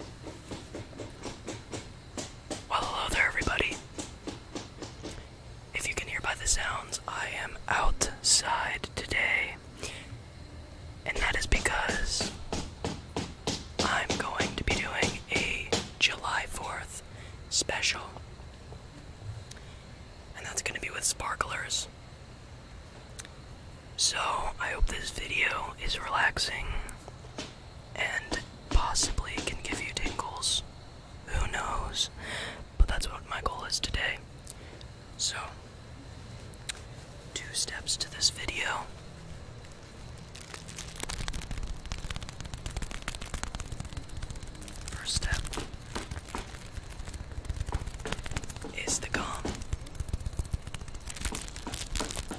Well, hello there, everybody. If you can hear by the sounds, I am outside today. And that is because I'm going to be doing a July 4th special. And that's going to be with sparklers. So, I hope this video is relaxing and possibly can give you tingles. Who knows? But that's what my goal is today. So, two steps to this video. First step is the gum.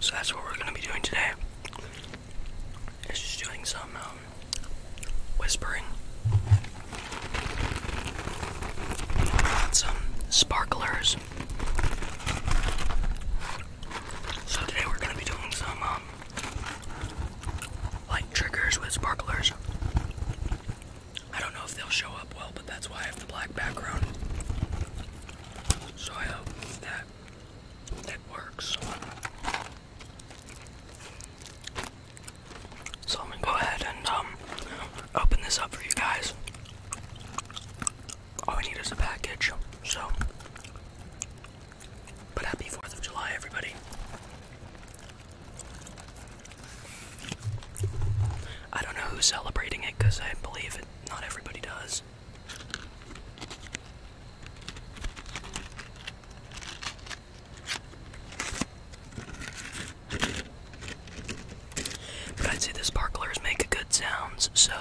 So that's what we're going to be doing today. Is just doing some um, whispering. Some sparklers. So today we're gonna be doing some um like triggers with sparklers. I don't know if they'll show up well, but that's why I have the black background. So I hope that it works. So I'm gonna go ahead and um open this up for you guys. All we need is a package, so. But happy 4th of July, everybody. I don't know who's celebrating it because I believe not everybody does. I'd say the sparklers make good sounds, so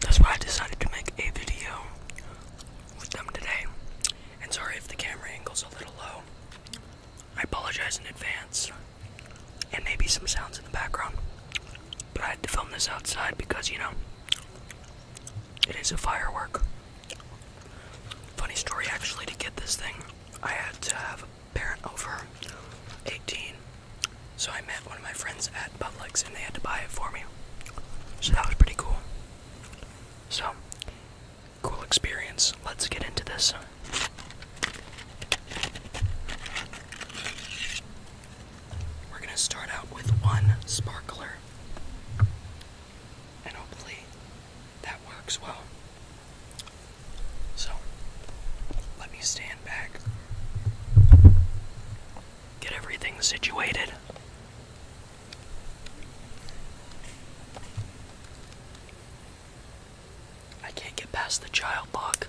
that's why I decided to make a video with them today. And sorry if the camera angle's a little low. I apologize in advance. And maybe some sounds in the background. But I had to film this outside because, you know, it is a firework. Funny story actually to get this thing. I had to have parent over 18. So I met one of my friends at Publix and they had to buy it for me. So that was pretty cool. So, cool experience. Let's get into this. We're going to start out with one sparkler. And hopefully that works well. So, let me stand back, get everything situated. I can't get past the child lock.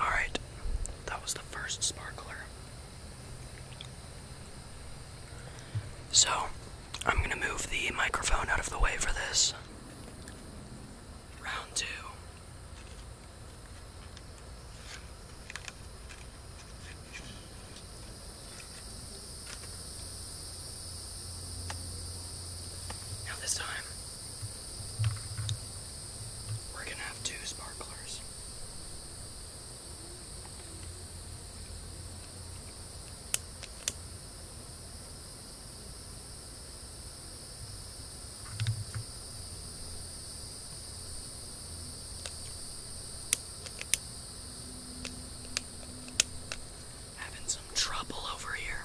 Alright, that was the first sparkler. So, I'm gonna move the microphone out of the way for this. Round two. Now, this time, we're gonna have two sparklers. Having some trouble over here.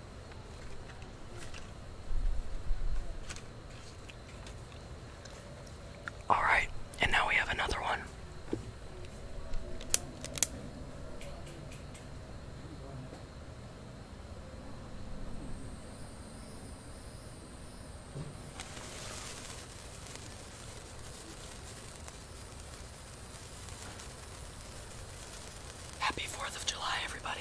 Alright, and now we have another one. Happy 4th of July, everybody.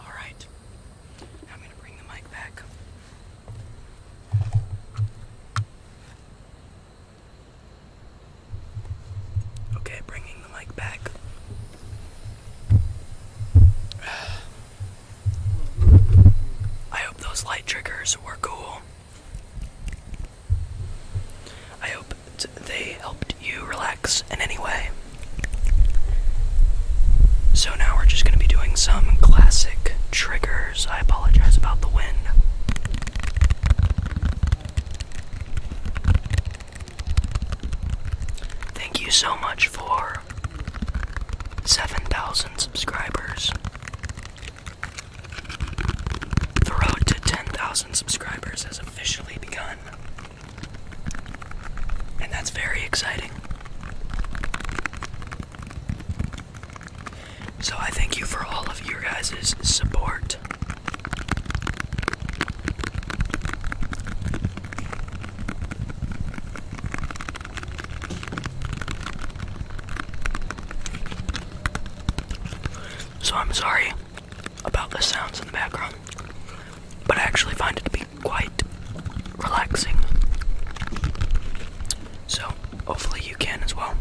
All right. I'm going to bring the mic back. Okay, bringing the mic back. I hope those light triggers were cool. I hope they helped you relax in any way. So now we're just going to be doing some classic triggers. I apologize about the wind. Thank you so much for 7,000 subscribers. The road to 10,000 subscribers has officially begun. And that's very exciting. So I thank you for all of your guys' support. So I'm sorry about the sounds in the background, but I actually find it to be quite relaxing. So, hopefully, you can as well.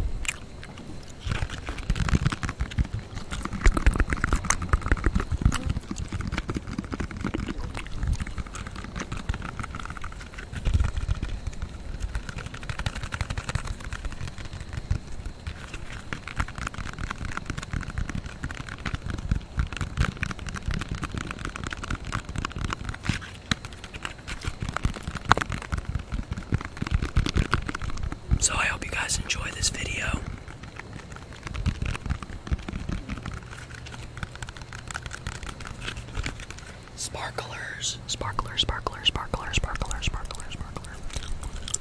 So I hope you guys enjoy this video. Sparklers, sparklers, sparklers, sparklers, sparklers, sparklers,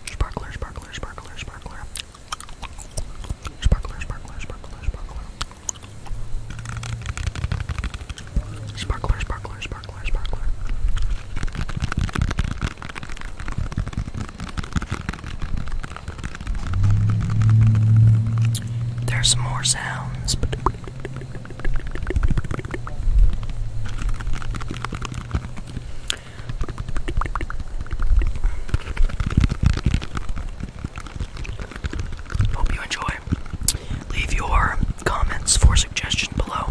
Sparkler, sparkler, sparkler, sparkler. Sparkler, sparkler, sparkler, sparkler. Sparkler, sparkler, sparkler, sparkler. There's some more sounds. Hope you enjoy. Leave your comments for suggestion below.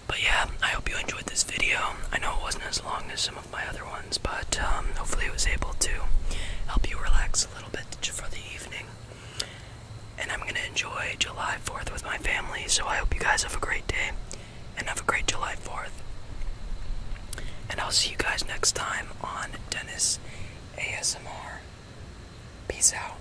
But yeah, I hope you enjoyed this video. I know it wasn't as long as some of my other ones, but um, hopefully it was able to help you relax a little bit for the evening. And I'm gonna enjoy July 4th with my family, so I hope you guys have a great day and have a great July 4th. And I'll see you guys next time on Dennis ASMR. Peace out.